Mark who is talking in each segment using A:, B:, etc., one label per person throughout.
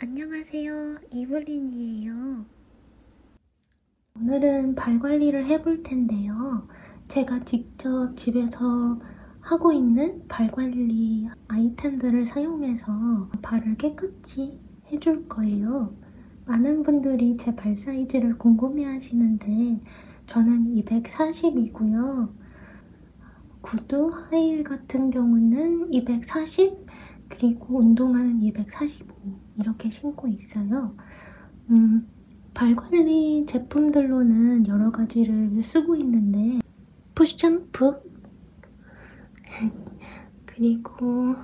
A: 안녕하세요. 이블린이에요. 오늘은 발 관리를 해볼 텐데요. 제가 직접 집에서 하고 있는 발 관리 아이템들을 사용해서 발을 깨끗이 해줄 거예요. 많은 분들이 제 발 사이즈를 궁금해 하시는데 저는 240이고요. 구두, 하이힐 같은 경우는 240 그리고 운동화는 245 이렇게 신고 있어요. 음, 발 관리 제품들로는 여러 가지를 쓰고 있는데 푸샴푸 그리고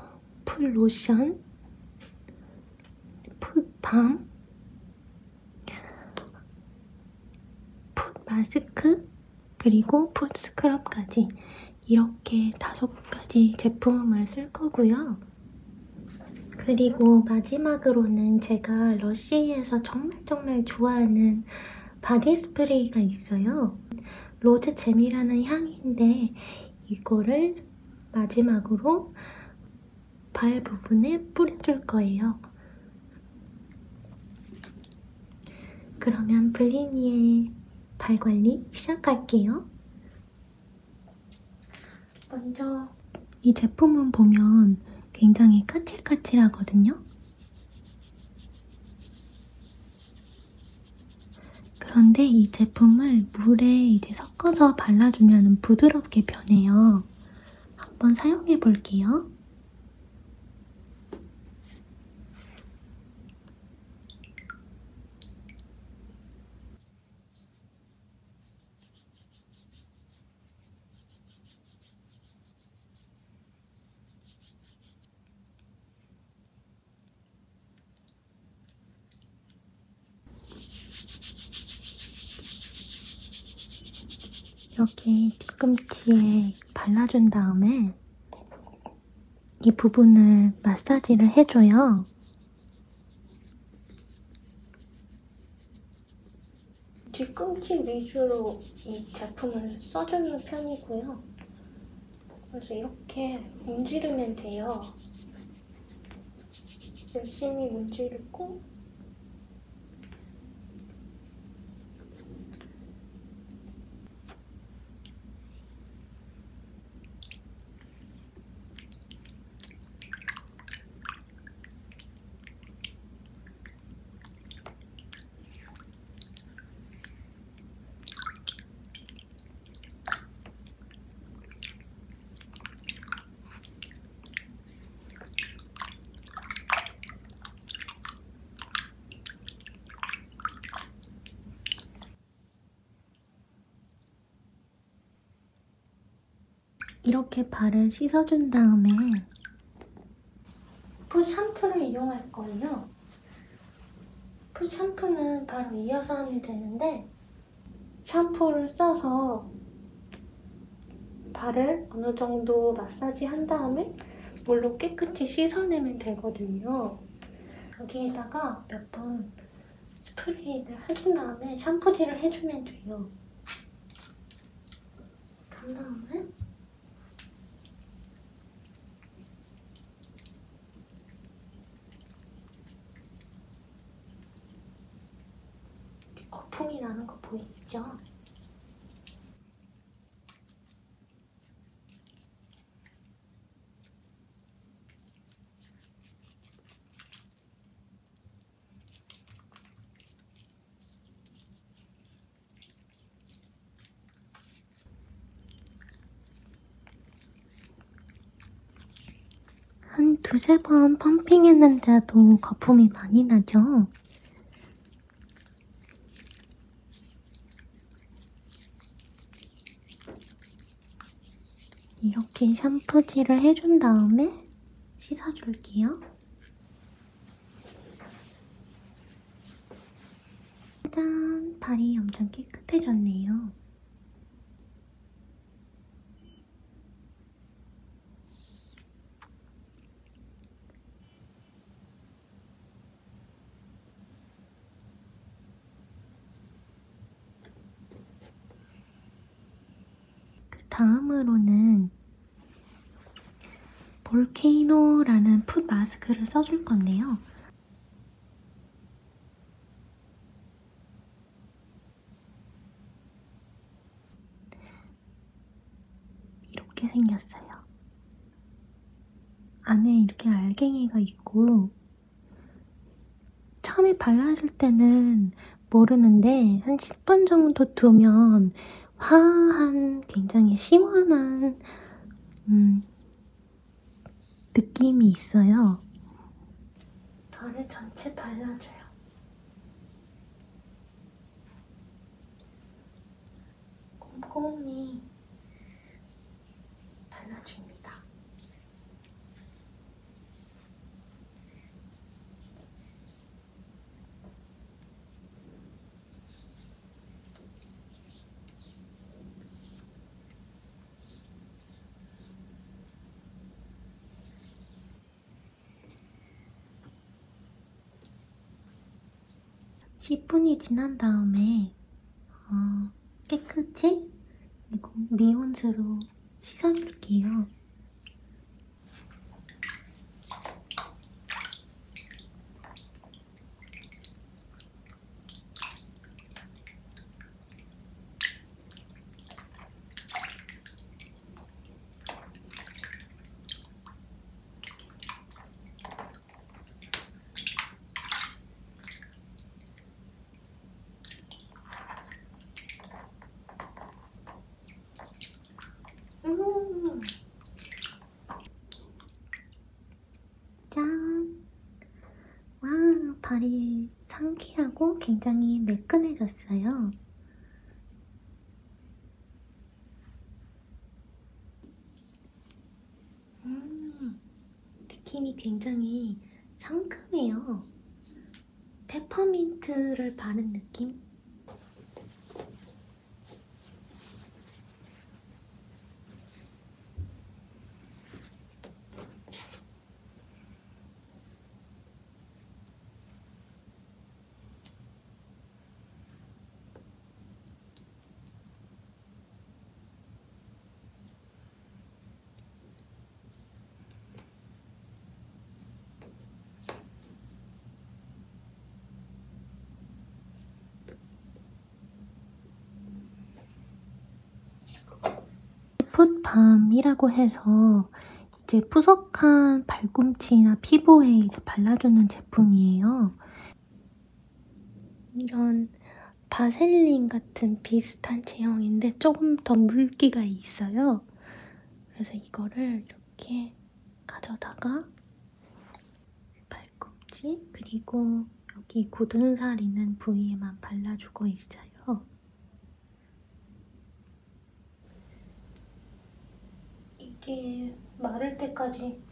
A: 풀 로션 풋밤, 풋마스크, 그리고 풋스크럽까지 이렇게 다섯 가지 제품을 쓸 거고요. 그리고 마지막으로는 제가 러쉬에서 정말 정말 좋아하는 바디 스프레이가 있어요. 로즈 잼이라는 향인데 이거를 마지막으로 발 부분에 뿌려줄 거예요. 그러면 블리니의 발 관리 시작할게요. 먼저 이 제품은 보면 굉장히 까칠까칠하거든요. 그런데 이 제품을 물에 이제 섞어서 발라주면 부드럽게 변해요. 한번 사용해 볼게요. 여기 뒤꿈치에 발라준 다음에 이 부분을 마사지를 해줘요. 뒤꿈치 위주로 이 제품을 써주는 편이고요. 그래서 이렇게 문지르면 돼요. 열심히 문지르고 이렇게 발을 씻어준 다음에 풋 샴푸를 이용할 거예요. 풋 샴푸는 바로 이어서 하면 되는데 샴푸를 써서 발을 어느 정도 마사지 한 다음에 물로 깨끗이 씻어내면 되거든요. 여기에다가 몇 번 스프레이를 해준 다음에 샴푸질을 해주면 돼요. 그 다음에 이렇게 거품이 나는 거 보이시죠? 한 두세 번 펌핑했는데도 거품이 많이 나죠? 이렇게 샴푸질을 해준 다음에 씻어줄게요. 짜잔! 발이 엄청 깨끗해졌네요. 그 다음으로는 볼케이노라는 풋 마스크를 써줄 건데요. 이렇게 생겼어요. 안에 이렇게 알갱이가 있고, 처음에 발라줄 때는 모르는데, 한 10분 정도 두면 화한, 굉장히 시원한, 음, 느낌이 있어요. 덜을 전체 발라줘요. 꼼꼼히 발라줍니다. 10분이 지난 다음에 어, 깨끗이 그리고 미온수로 씻어줄게요. 음 짠! 와, 발이 상쾌하고 굉장히 매끈해졌어요. 음, 느낌이 굉장히 상큼해요. 페퍼민트를 바른 느낌? 풋밤이라고 해서 이제 푸석한 발꿈치나 피부에 이제 발라주는 제품이에요. 이런 바셀린 같은 비슷한 제형인데 조금 더 물기가 있어요. 그래서 이거를 이렇게 가져다가 발꿈치 그리고 여기 굳은 살 있는 부위에만 발라주고 있어요. 이게 마를 때까지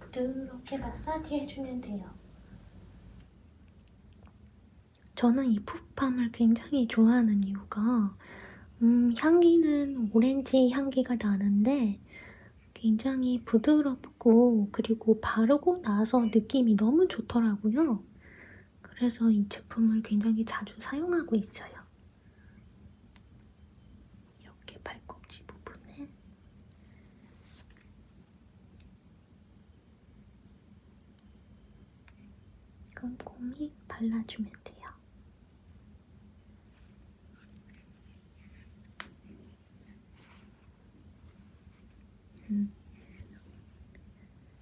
A: 부드럽게 마사지 해주면 돼요. 저는 이 풋팜을 굉장히 좋아하는 이유가 음, 향기는 오렌지 향기가 나는데 굉장히 부드럽고 그리고 바르고 나서 느낌이 너무 좋더라고요. 그래서 이 제품을 굉장히 자주 사용하고 있어요. 이렇게 발꿈치 부분에 꼼꼼히 발라주면 돼요. 음.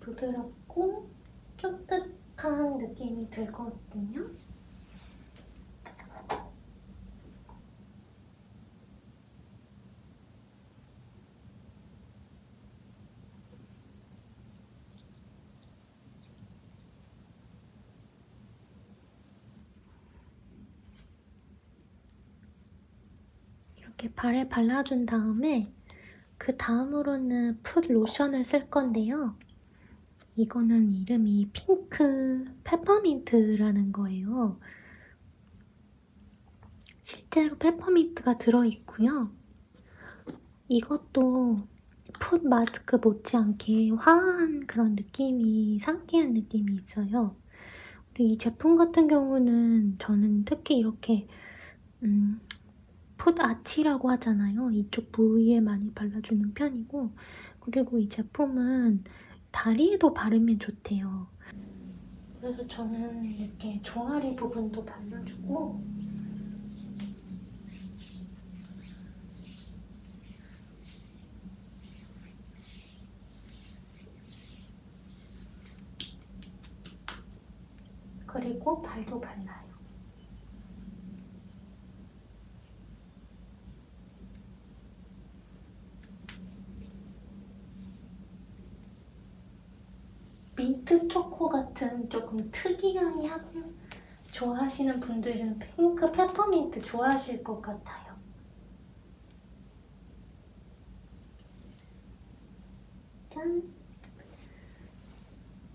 A: 부드럽고 쫀득한 느낌이 들 거거든요. 이렇게 발에 발라준 다음에 그 다음으로는 풋 로션을 쓸 건데요. 이거는 이름이 핑크 페퍼민트라는 거예요. 실제로 페퍼민트가 들어있고요. 이것도 풋 마스크 못지않게 화한 그런 느낌이, 상쾌한 느낌이 있어요. 이 제품 같은 경우는 저는 특히 이렇게 음, 풋아티라고 하잖아요. 이쪽 부위에 많이 발라주는 편이고 그리고 이 제품은 다리에도 바르면 좋대요. 그래서 저는 이렇게 종아리 부분도 발라주고 그리고 발도 발라요. 민트 초코 같은 조금 특이한 향 좋아하시는 분들은 핑크 페퍼민트 좋아하실 것 같아요. 짠!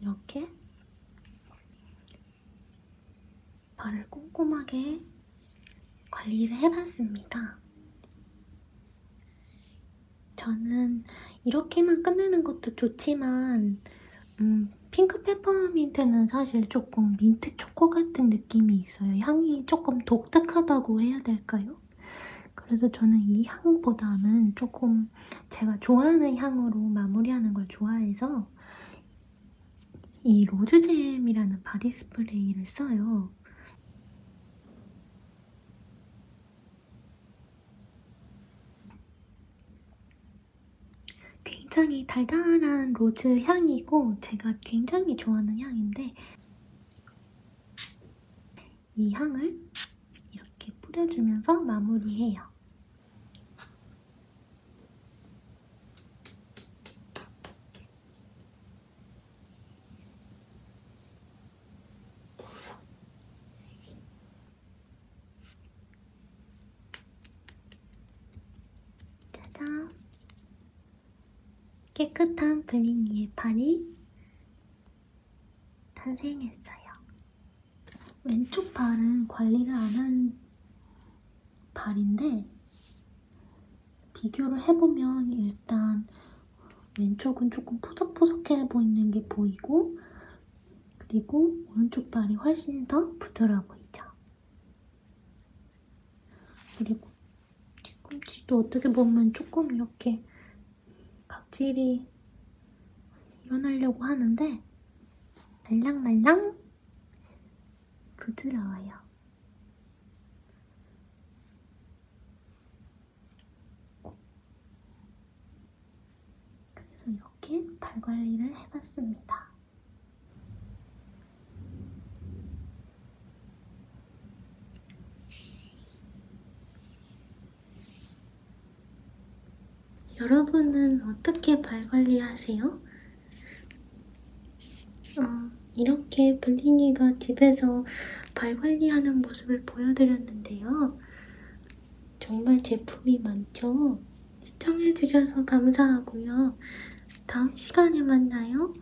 A: 이렇게 발을 꼼꼼하게 관리를 해봤습니다. 저는 이렇게만 끝내는 것도 좋지만 음, 핑크 페퍼민트는 사실 조금 민트 초코 같은 느낌이 있어요. 향이 조금 독특하다고 해야 될까요? 그래서 저는 이 향보다는 조금 제가 좋아하는 향으로 마무리하는 걸 좋아해서 이 로즈잼이라는 바디 스프레이를 써요. 굉장히 달달한 로즈 향이고 제가 굉장히 좋아하는 향인데 이 향을 이렇게 뿌려주면서 마무리해요. 짜잔! 깨끗한 블린이의 팔이 탄생했어요. 왼쪽 발은 관리를 안 한 발인데 비교를 해보면 일단 왼쪽은 조금 푸석푸석해 보이는 게 보이고 그리고 오른쪽 발이 훨씬 더 부드러워 보이죠. 그리고 뒤꿈치도 어떻게 보면 조금 이렇게 각질이 일어나려고 하는데 말랑말랑 부드러워요. 그래서 이렇게 발 관리를 해봤습니다. 여러분은 어떻게 발 관리하세요? 어, 이렇게 블린이가 집에서 발 관리하는 모습을 보여드렸는데요. 정말 제품이 많죠? 시청해주셔서 감사하고요. 다음 시간에 만나요.